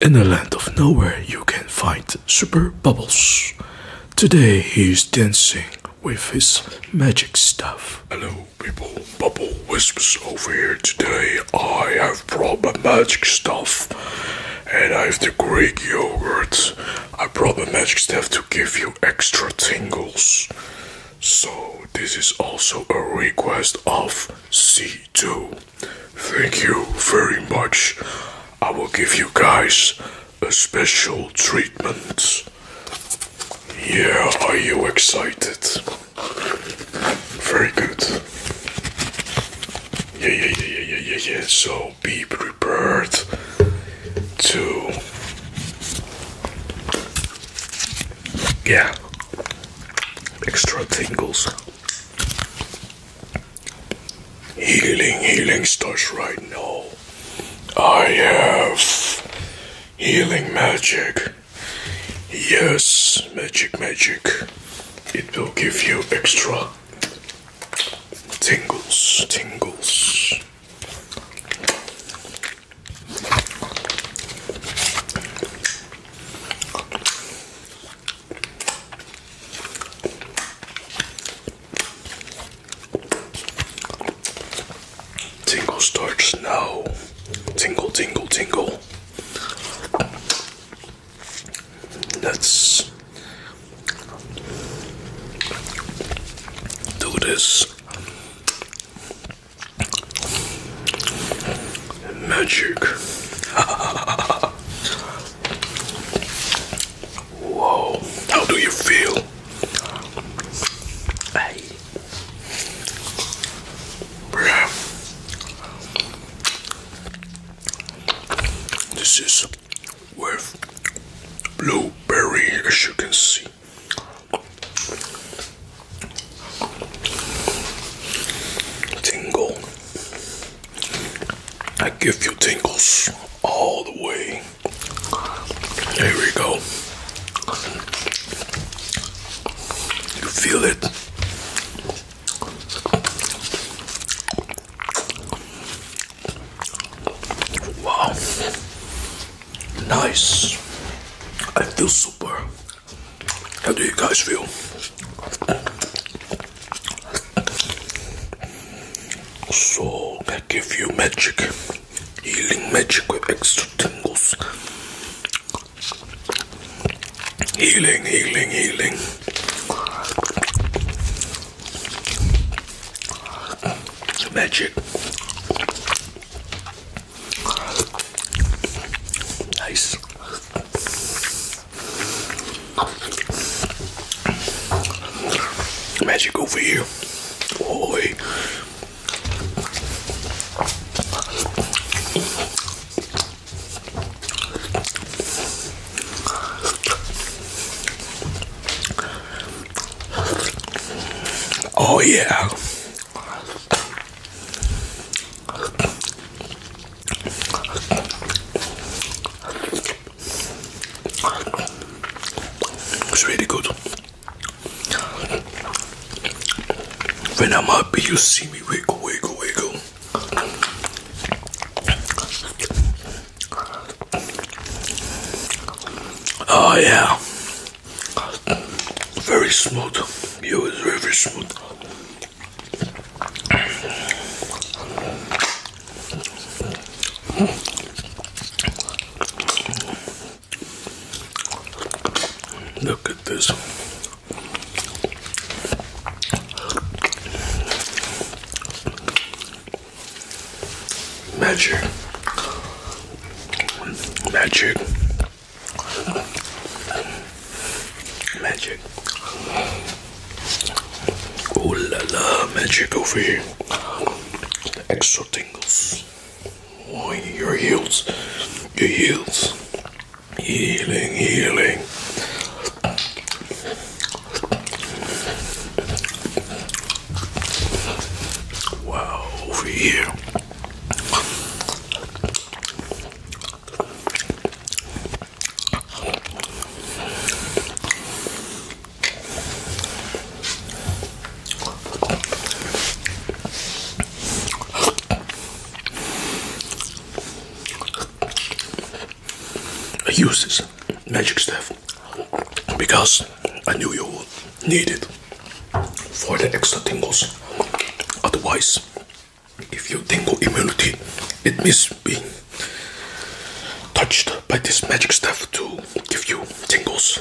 In the land of nowhere, you can find Super Bubbles. Today, he is dancing with his magic stuff. Hello, people. Bubble Wisps over here today. I have brought my magic stuff, and I have the Greek yogurt. I brought my magic stuff to give you extra tingles. So, this is also a request of C2. Thank you very much. I will give you guys a special treatment. Yeah, are you excited? Very good. Yeah, yeah, yeah, yeah, yeah, yeah. So be prepared to. Yeah. Extra tingles. Healing, healing starts right now. I have healing magic. Yes, magic, magic. It will give you extra tingles, tingles. Tingle starts now. Tingle, tingle, tingle. Let's do this. Magic. Whoa. How do you feel? This is with blueberry, as you can see. Tingle. I give you tingles all the way. There we go. You feel it. Wow. Nice. I feel super. How do you guys feel? So I give you magic, healing magic with extra tingles. Healing, healing, healing. Magic. Nice. Magic over here. Boy. Oh, yeah. It's really good. When I'm happy, you see me wiggle, wiggle, wiggle. Oh, yeah. Very smooth. Yeah, it's very smooth. Look at this. Magic. Magic. Magic. Oh la la, magic over here. Extra tingles. Oh, your heels. Your heels. Healing, healing. Wow, over here. I use this magic stuff because I knew you would need it for the extra tingles. Otherwise, if you tingle immunity, it means be touched by this magic stuff to give you tingles.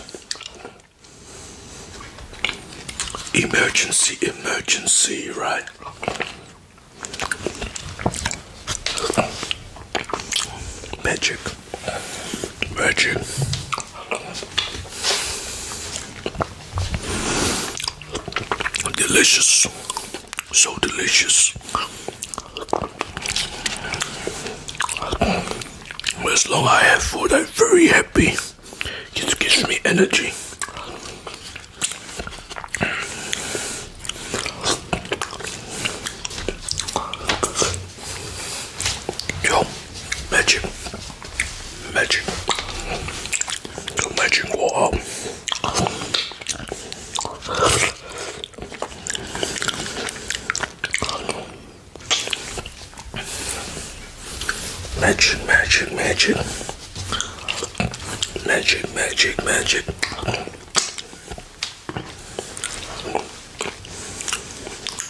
Emergency, emergency, right? Magic. Virtue. Delicious. So delicious. As long as I have food, I'm very happy. It gives me energy. Yo, magic, magic, magic wall. Magic, magic, magic. Magic, magic, magic.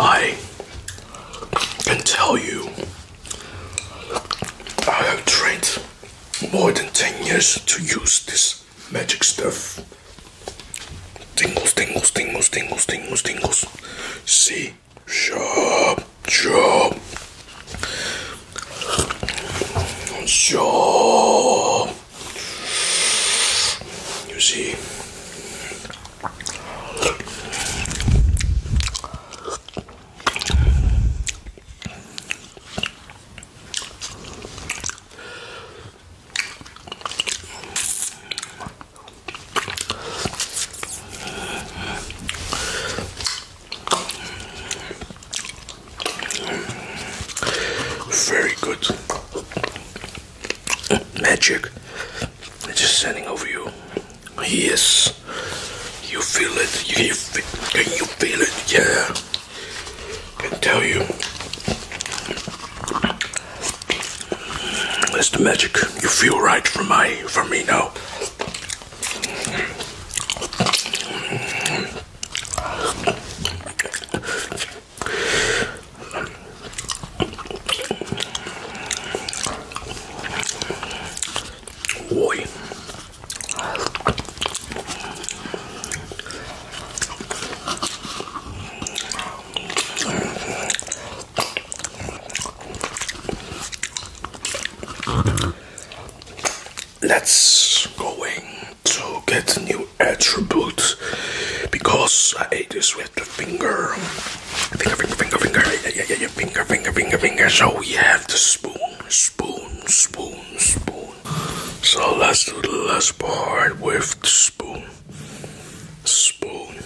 I can tell you I have trained more than 10 years to use this magic stuff. Tingles, tingles, tingles, tingles, tingles, tingles. See, sharp, sharp, sharp. You see, very good magic it's just standing over you yes you feel it you, feel, can you feel it yeah I can tell you that's the magic you feel right for my from me now Let's going to get new attributes because I ate this with the finger. Finger, finger, finger, finger, finger, finger, finger, finger. So we have the spoon, spoon, spoon, spoon. So let's do the last part with the spoon. Spoon,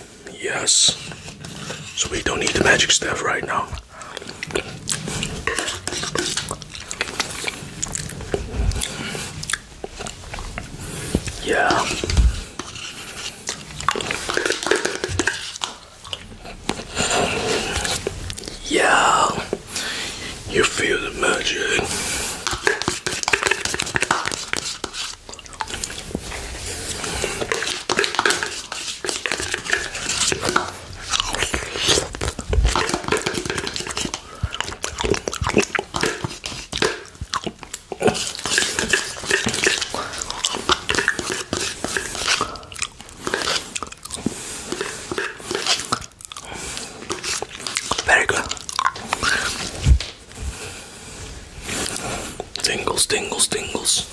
yes. So we don't need the magic staff right now. Yeah. Yeah. You feel the magic. Very good. Tingles, tingles, tingles.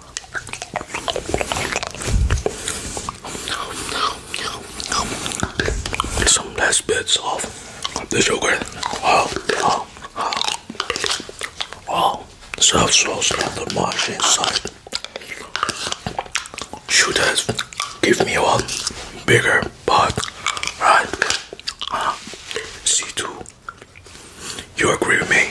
Some last bits off the sugar. Oh, oh, oh. Oh, the soft sauce the mush inside should have give me one bigger pot, right? Uh, C2 you agree with me?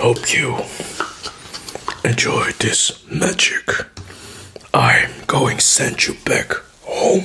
Hope you enjoyed this magic. I'm going send you back home.